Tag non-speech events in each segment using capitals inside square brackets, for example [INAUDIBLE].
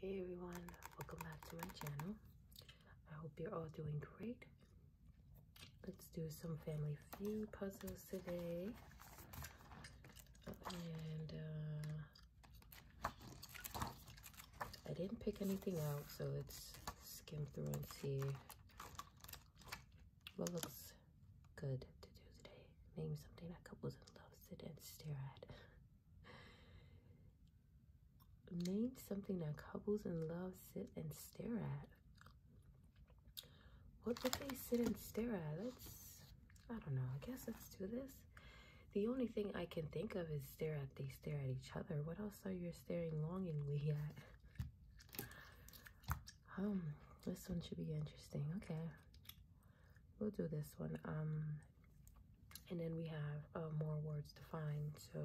Hey everyone, welcome back to my channel. I hope you're all doing great. Let's do some family feud puzzles today. And uh, I didn't pick anything out, so let's skim through and see what looks good to do today. Maybe something that couples love to sit and stare at. Name something that couples in love sit and stare at. What would they sit and stare at? Let's, I don't know, I guess let's do this. The only thing I can think of is stare at, they stare at each other. What else are you staring longingly [LAUGHS] at? Um, this one should be interesting. Okay we'll do this one um, and then we have uh, more words to find so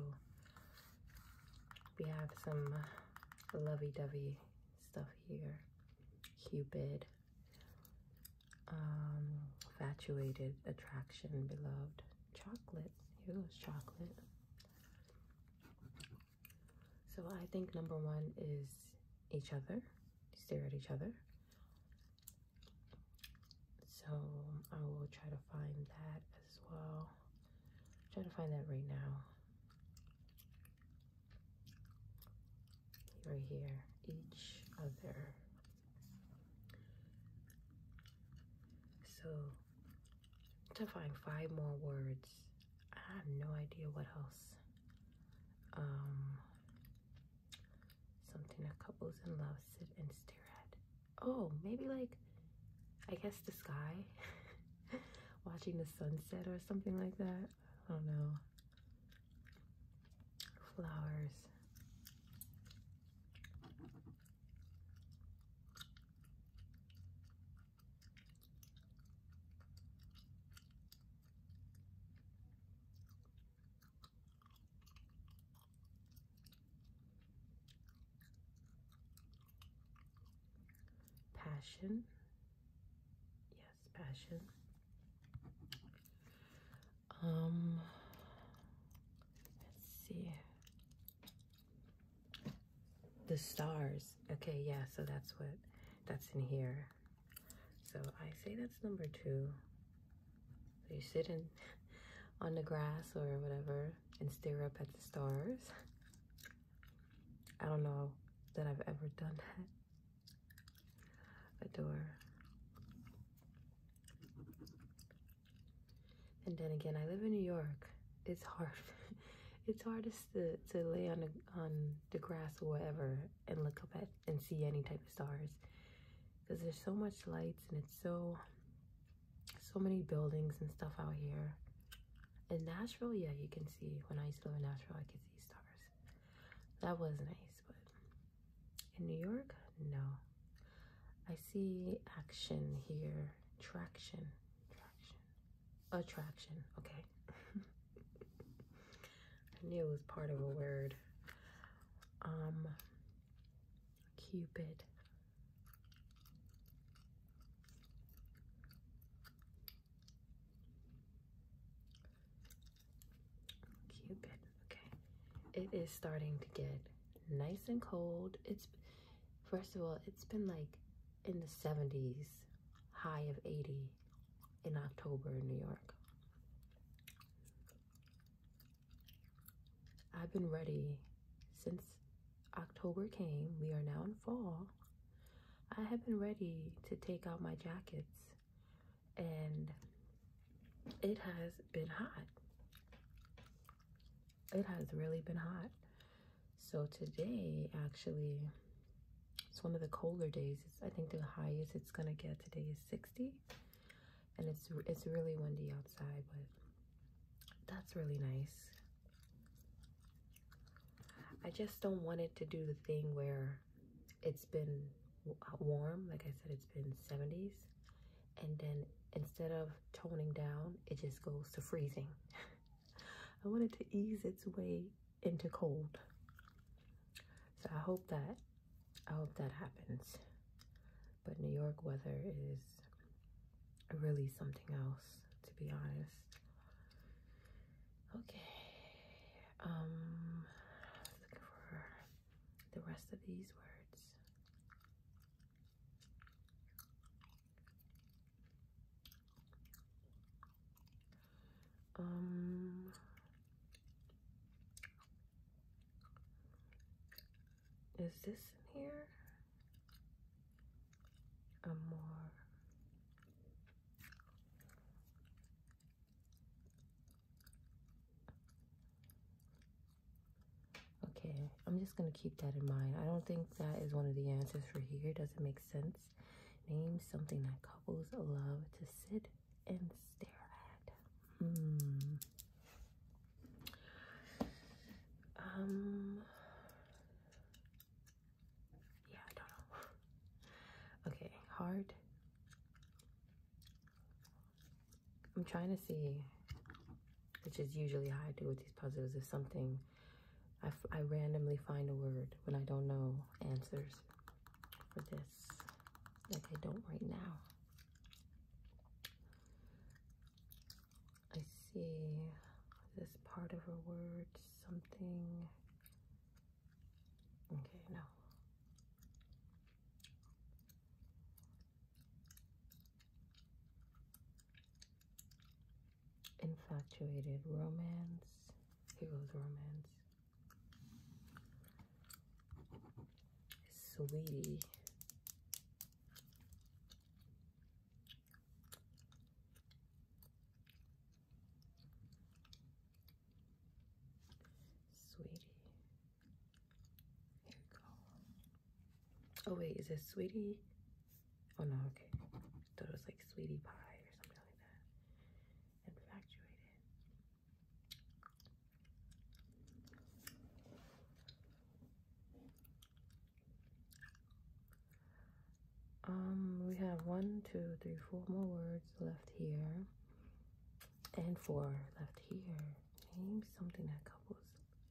we have some uh, lovey-dovey stuff here cupid um, infatuated attraction beloved chocolate here goes chocolate so i think number one is each other stare at each other so I will try to find that as well. Try to find that right now. Right here, each other. So to find five more words, I have no idea what else. Um, Something that couples in love sit and stare at. Oh, maybe like, I guess the sky. [LAUGHS] Watching the sunset or something like that. I don't know. Flowers. Passion. Yes, passion. Um, let's see. The stars. Okay, yeah, so that's what that's in here. So I say that's number two. you sit in [LAUGHS] on the grass or whatever and stare up at the stars. I don't know that I've ever done that. Adore. And then again, I live in New York. It's hard. [LAUGHS] it's hardest to, to lay on on the grass or whatever and look up at and see any type of stars because there's so much lights and it's so so many buildings and stuff out here in nashville yeah you can see when i used to live in nashville i could see stars that was nice but in new york no i see action here traction traction attraction okay [LAUGHS] I knew it was part of a word. Um, Cupid. Cupid, okay. It is starting to get nice and cold. It's, first of all, it's been like in the 70s, high of 80 in October in New York. I've been ready since October came. We are now in fall. I have been ready to take out my jackets, and it has been hot. It has really been hot. So, today actually, it's one of the colder days. I think the highest it's gonna get today is 60 and it's it's really windy outside, but that's really nice. I just don't want it to do the thing where it's been uh, warm, like I said, it's been 70s, and then instead of toning down, it just goes to freezing. [LAUGHS] I want it to ease its way into cold. So I hope that I hope that happens. But New York weather is really something else, to be honest. Okay. Um, looking for the rest of these words. Um, is this in here? A more Okay, I'm just gonna keep that in mind. I don't think that is one of the answers for here. does it make sense. Name something that couples love to sit and stare at. Hmm. Um. Yeah, I don't know. [LAUGHS] okay, hard. I'm trying to see, which is usually how I do with these puzzles, is something I, I randomly find a word when I don't know answers for this like I don't right now. I see this part of a word, something. Okay, no. Infatuated romance. Here goes romance. Sweetie. Sweetie. Here we go. Oh wait, is it sweetie? Oh no, okay. I thought it was like sweetie pie or something like that. Infatuated. Um, we have one, two, three, four more words left here, and four left here. Name something that couples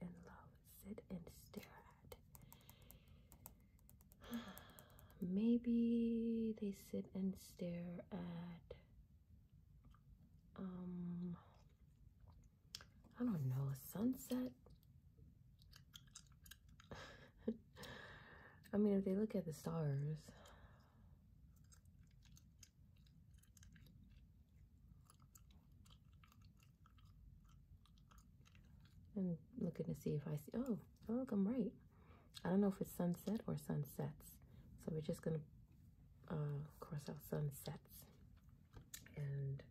in love sit and stare at. [SIGHS] Maybe they sit and stare at um, I don't know, a sunset. [LAUGHS] I mean, if they look at the stars, I'm looking to see if I see, oh, oh, I'm right. I don't know if it's sunset or sunsets. So we're just gonna of uh, course our sun sets and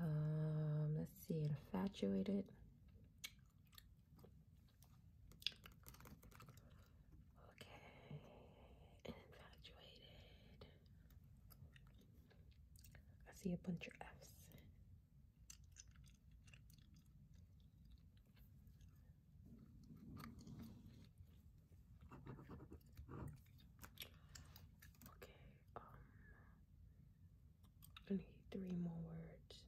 um, let's see infatuated okay infatuated I see a bunch of F's Okay, um, need three more words.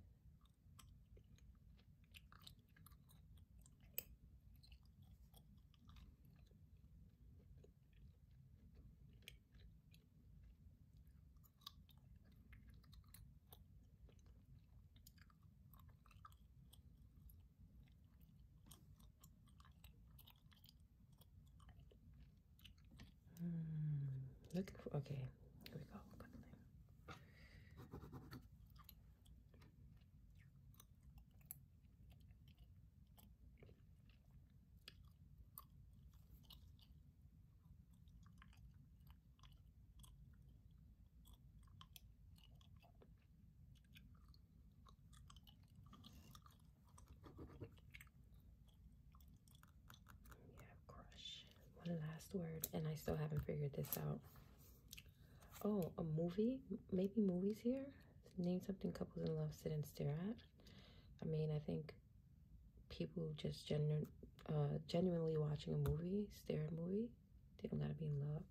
Mm, looking for okay, here we go. Yeah, crush. One last word, and I still haven't figured this out. Oh, a movie? Maybe movies here? Name something couples in love sit and stare at. I mean, I think people just gener uh, genuinely watching a movie, stare at movie. They don't gotta be in love.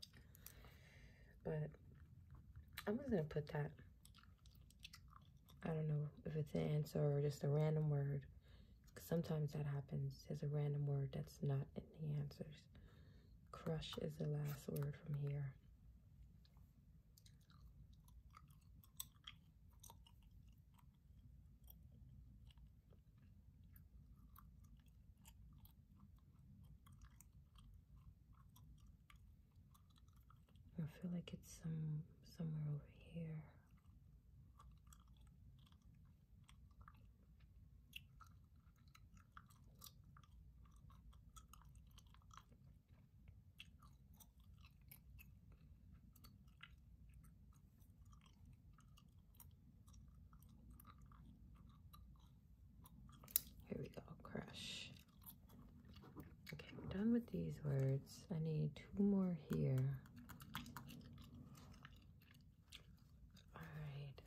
But I'm just gonna put that. I don't know if it's an answer or just a random word. Cause sometimes that happens. There's a random word that's not in the answers. Crush is the last word from here. I feel like it's some somewhere over here. Here we go, crush. Okay, I'm done with these words. I need two more here. All right.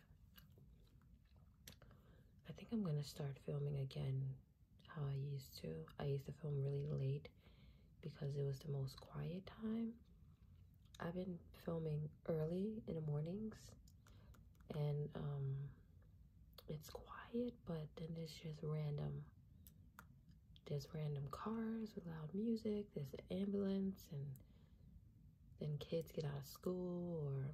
I think I'm gonna start filming again how I used to. I used to film really late because it was the most quiet time I've been filming early in the mornings and um, it's quiet but then there's just random there's random cars with loud music, there's an ambulance and then kids get out of school or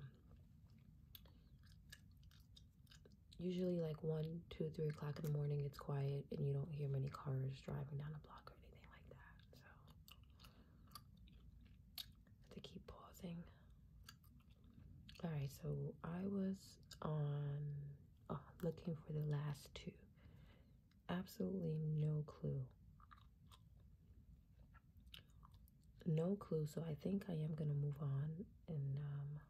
usually like one, two, three o'clock in the morning it's quiet and you don't hear many cars driving down the block or anything like that. So I have to keep pausing. All right, so I was on uh, looking for the last two. Absolutely no clue. No clue, so I think I am going to move on and um,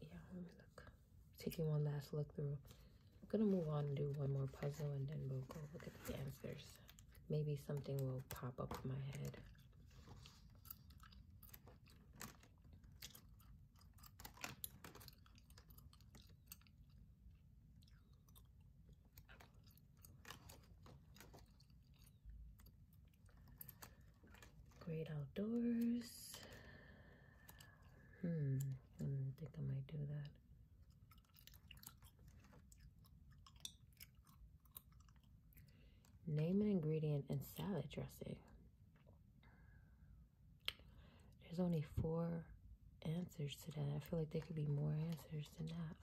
yeah, let me look. Taking one last look through. I'm gonna move on and do one more puzzle and then we'll go look at the answers. Maybe something will pop up in my head. Great outdoors. Hmm, think I might do that. Name an ingredient in salad dressing. There's only four answers to that. I feel like there could be more answers than that.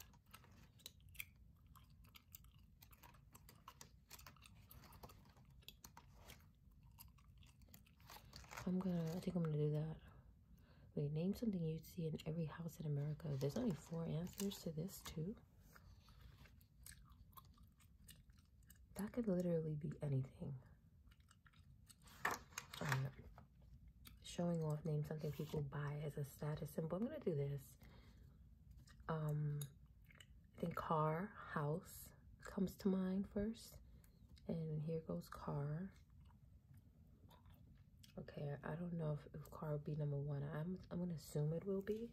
I'm gonna, I think I'm gonna do that. Wait, name something you'd see in every house in America. There's only four answers to this, too. That could literally be anything. showing off, name something people buy as a status symbol. I'm gonna do this. Um, I think car, house comes to mind first. And here goes car. Okay, I don't know if, car will be number one. I'm I'm gonna assume it will be.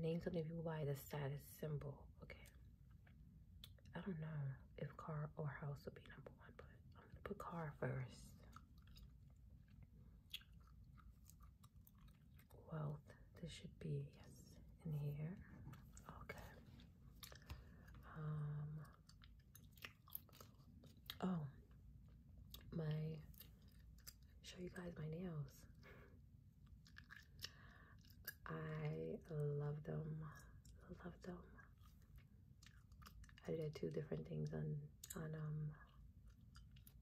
Name something people buy the status symbol. Okay. I don't know if car or house will be number one, but I'm gonna put car first wealth. This should be, yes, in here. Okay. Um, oh, my, show you guys my nails. I love them, love them. I did two different things on, on, um,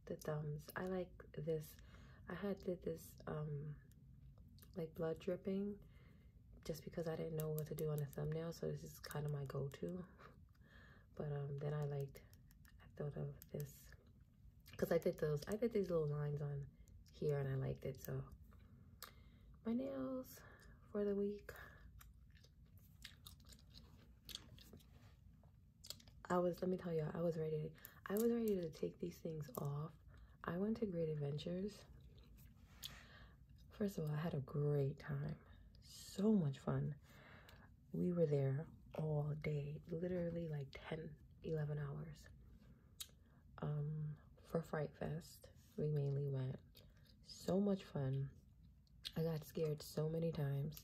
the thumbs. I like this. I had did this um like blood dripping just because I didn't know what to do on the thumbnail, so this is kind of my go-to. [LAUGHS] but um then I liked I thought of this because I did those I did these little lines on here and I liked it so my nails for the week I was, let me tell you I was ready. I was ready to take these things off. I went to Great Adventures. First of all, I had a great time. So much fun. We were there all day, literally like 10, 11 hours. Um, for Fright Fest, we mainly went. So much fun. I got scared so many times.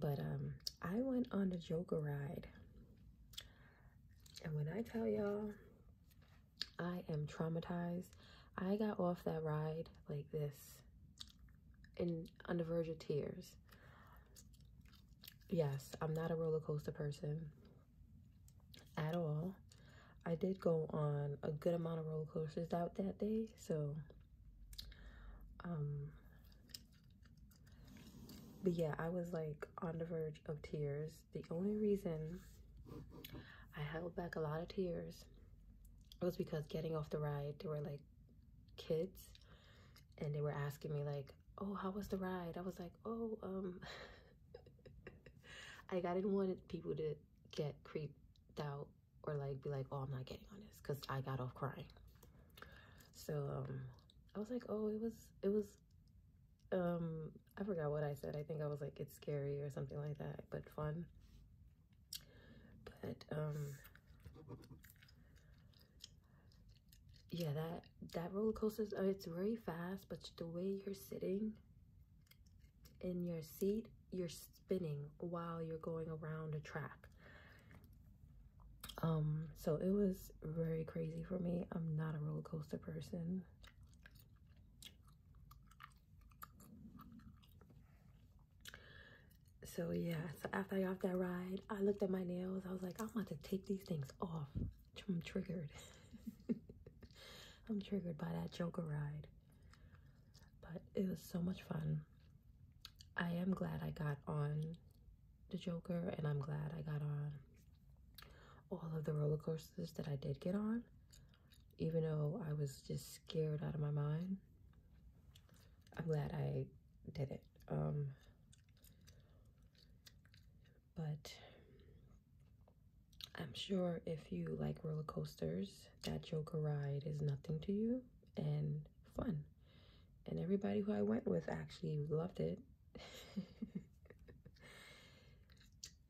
But um, I went on a Joker ride, and when I tell y'all, I am traumatized. I got off that ride like this, in on the verge of tears. Yes, I'm not a roller coaster person at all. I did go on a good amount of roller coasters out that day, so um, but yeah, I was like on the verge of tears. The only reason I held back a lot of tears was because getting off the ride, there were like kids and they were asking me like, "Oh, how was the ride?" I was like, "Oh, um [LAUGHS] like I didn't want people to get creeped out or like be like, "Oh, I'm not getting on this" cuz I got off crying. So, um, I was like, oh, it was, it was, um, I forgot what I said. I think I was like, it's scary or something like that, but fun. But, um, yeah, that, that roller coaster, it's very fast, but the way you're sitting in your seat, you're spinning while you're going around a track. Um, so it was very crazy for me. I'm not a roller coaster person. So yeah, so after I got that ride, I looked at my nails. I was like, I'm about to take these things off. I'm triggered. [LAUGHS] I'm triggered by that Joker ride. But it was so much fun. I am glad I got on the Joker, and I'm glad I got on all of the roller coasters that I did get on, even though I was just scared out of my mind. I'm glad I did it. Um, but I'm sure if you like roller coasters, that Joker ride is nothing to you and fun and everybody who I went with actually loved it. [LAUGHS]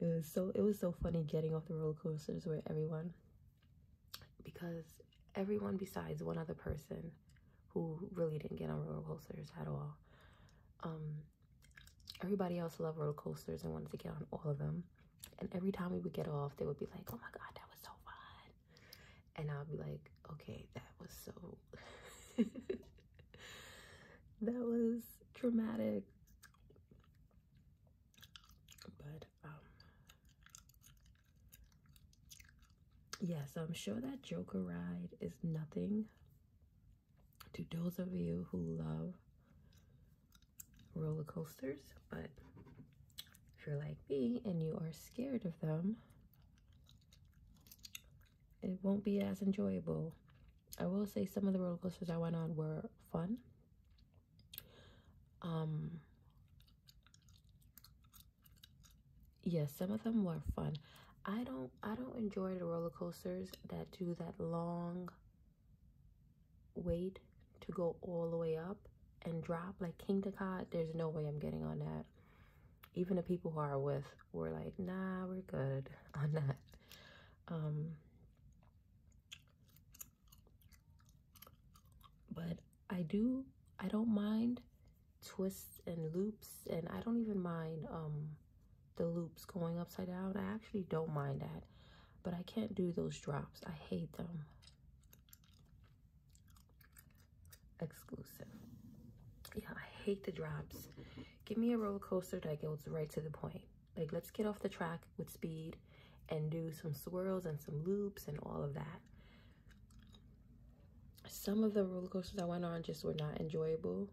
it was so it was so funny getting off the roller coasters with everyone because everyone besides one other person who really didn't get on roller coasters at all. Um, everybody else loved roller coasters and wanted to get on all of them. And every time we would get off, they would be like, "Oh my god, that was so fun!" and I'll be like, okay, that was so [LAUGHS] that was traumatic. But um, yeah, so I'm sure that Joker ride is nothing to those of you who love roller coasters, but if you're like me and you are scared of them, it won't be as enjoyable. I will say some of the roller coasters I went on were fun. Um, yes, yeah, some of them were fun. I don't I don't enjoy the roller coasters that do that long wait to go all the way up and drop like King Cod. There's no way I'm getting on that even the people who are with were like, nah, we're good [LAUGHS] on that. Um, but I do, I don't mind twists and loops, and I don't even mind um, the loops going upside down. I actually don't mind that, but I can't do those drops. I hate them exclusive. Yeah, I hate the drops. Give me a roller coaster that goes right to the point. Like, let's get off the track with speed and do some swirls and some loops and all of that. Some of the roller coasters I went on just were not enjoyable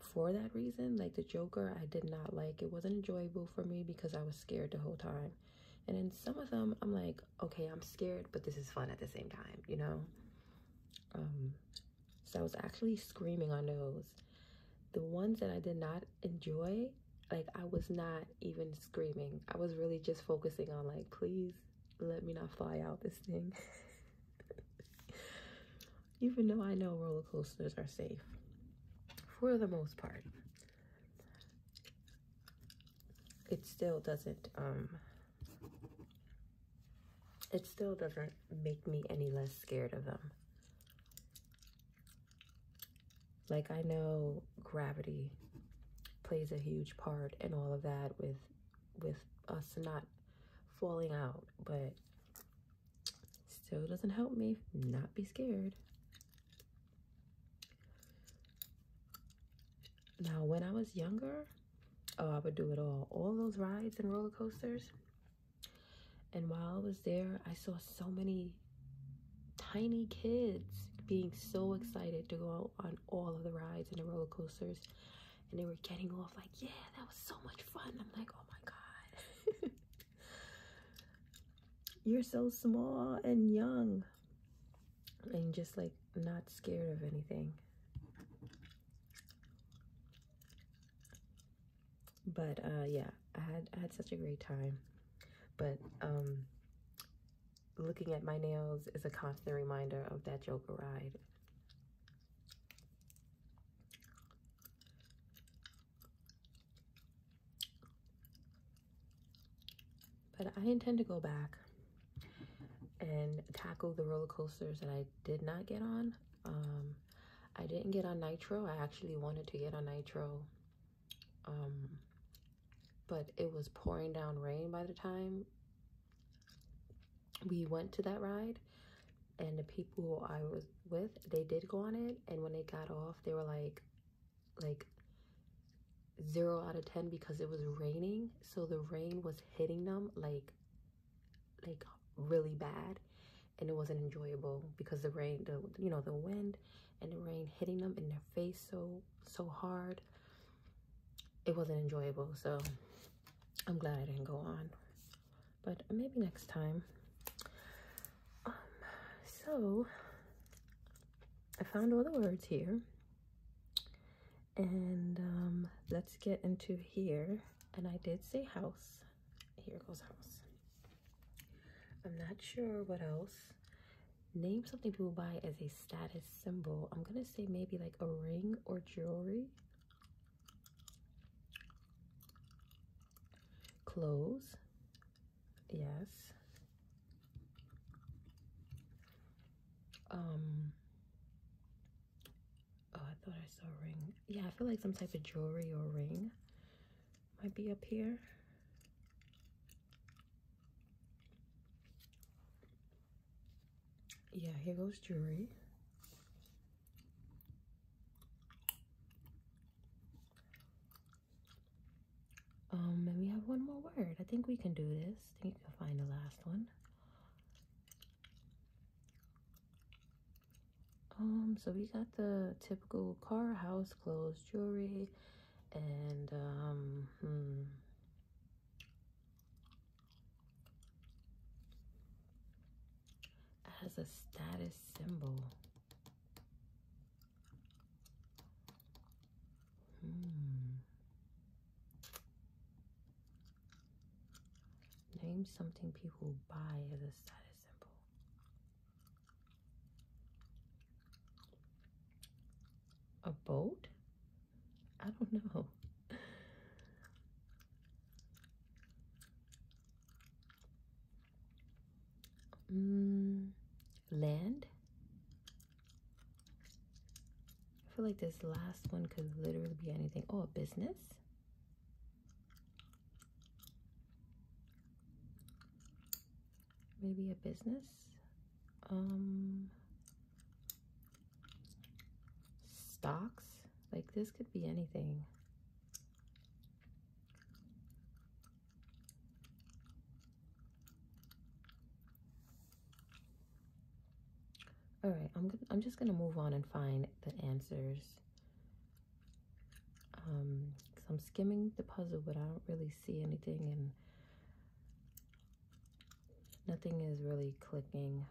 for that reason. Like, the Joker, I did not like. It wasn't enjoyable for me because I was scared the whole time. And then some of them, I'm like, okay, I'm scared, but this is fun at the same time, you know? Um, so I was actually screaming on those. The ones that I did not enjoy, like I was not even screaming. I was really just focusing on like, please let me not fly out this thing. [LAUGHS] even though I know roller coasters are safe for the most part it still doesn't um it still doesn't make me any less scared of them like i know gravity plays a huge part in all of that with with us not falling out but still doesn't help me not be scared now, when I was younger, oh, I would do it all. All those rides and roller coasters. And while I was there, I saw so many tiny kids being so excited to go on all of the rides and the roller coasters. And they were getting off like, yeah, that was so much fun. I'm like, oh my God. [LAUGHS] You're so small and young and just like not scared of anything. But uh, yeah, I had I had such a great time. But um, looking at my nails is a constant reminder of that Joker ride. But I intend to go back and tackle the roller coasters that I did not get on. Um, I didn't get on Nitro. I actually wanted to get on Nitro. Um, but it was pouring down rain by the time we went to that ride and the people I was with, they did go on it. And when they got off, they were like, like, 0 out of 10 because it was raining so the rain was hitting them like like really bad and it wasn't enjoyable because the rain the you know the wind and the rain hitting them in their face so so hard it wasn't enjoyable so i'm glad i didn't go on but maybe next time um, so i found all the words here and um, let's get into here. And I did say house. Here goes house. I'm not sure what else. Name something people buy as a status symbol. I'm going to say maybe like a ring or jewelry. Clothes. Yes. Um, oh i thought i saw ring yeah i feel like some type of jewelry or ring might be up here yeah here goes jewelry um and have one more word i think we can do this i think you can find the last one um, so we got the typical car, house, clothes, jewelry, and um, hmm. as a status symbol. Hmm. Name something people buy as a status symbol. A boat? I don't know. [LAUGHS] Mm, land? I feel like this last one could literally be anything. Oh, a business. Maybe a business. Um, stocks. Like this could be anything. All right, gonna, I'm just gonna move on and find the answers. Um, i I'm skimming the puzzle, but I don't really see anything, and nothing is really clicking.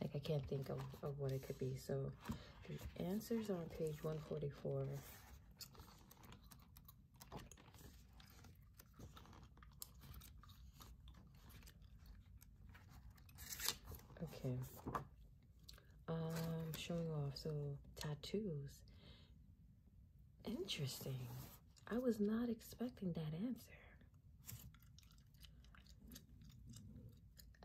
Like I can't think of, of what it could be. So the answers are on page 144. Okay. Um, showing off. So tattoos. Interesting. I was not expecting that answer.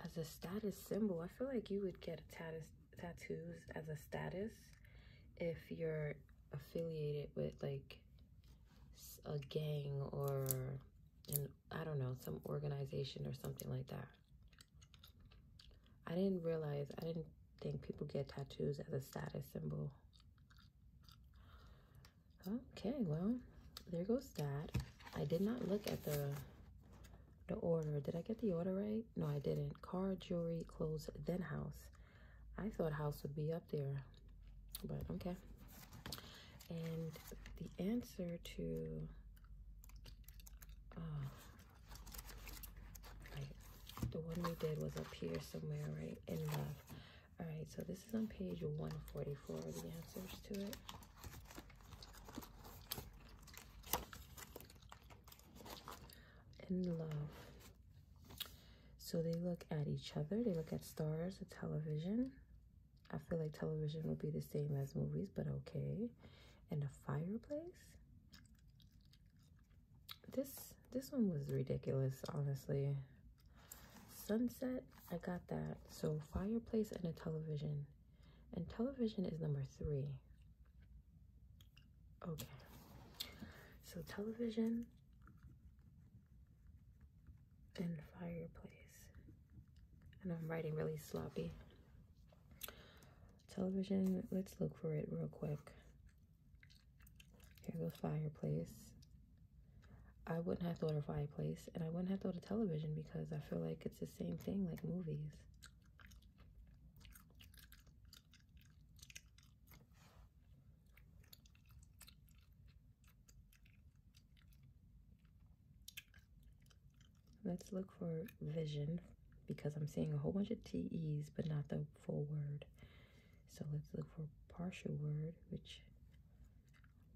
As a status symbol, I feel like you would get a tatus tattoos as a status if you're affiliated with like a gang or I don't know, some organization or something like that. I didn't realize, I didn't think people get tattoos as a status symbol. Okay, well, there goes that. I did not look at the the order. Did I get the order right? No, I didn't. Car, jewelry, clothes, then house. I thought house would be up there, but okay. And the answer to uh, the one we did was up here somewhere, right? In love. All right, so this is on page 144, the answers to it. In love. So they look at each other, they look at stars, at television. I feel like television will be the same as movies, but okay. And a fireplace. This this one was ridiculous, honestly. Sunset, I got that. So fireplace and a television. And television is number three. Okay. So television and fireplace. And I'm writing really sloppy. Television, let's look for it real quick. Here goes fireplace. I wouldn't have thought of fireplace and I wouldn't have thought of television because I feel like it's the same thing like movies. Let's look for vision because I'm seeing a whole bunch of TEs, but not the full word. So let's look for partial word, which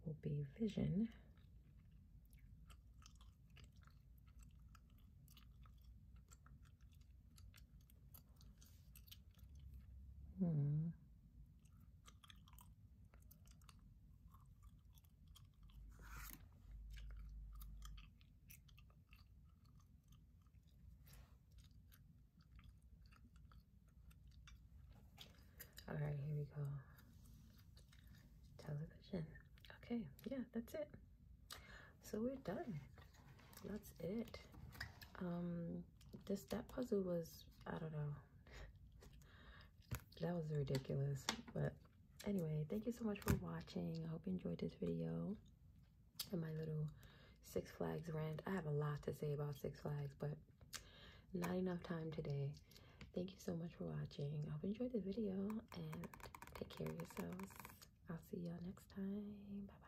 will be vision. Hmm. All right, here we go. Television. Okay, yeah, that's it. So we're done. That's it. Um, this that puzzle was I don't know. that was ridiculous. But anyway, thank you so much for watching. I hope you enjoyed this video and my little Six Flags rant. I have a lot to say about Six Flags, but not enough time today. Thank you so much for watching. I hope you enjoyed the video and take care of yourselves. I'll see y'all next time. Bye-bye.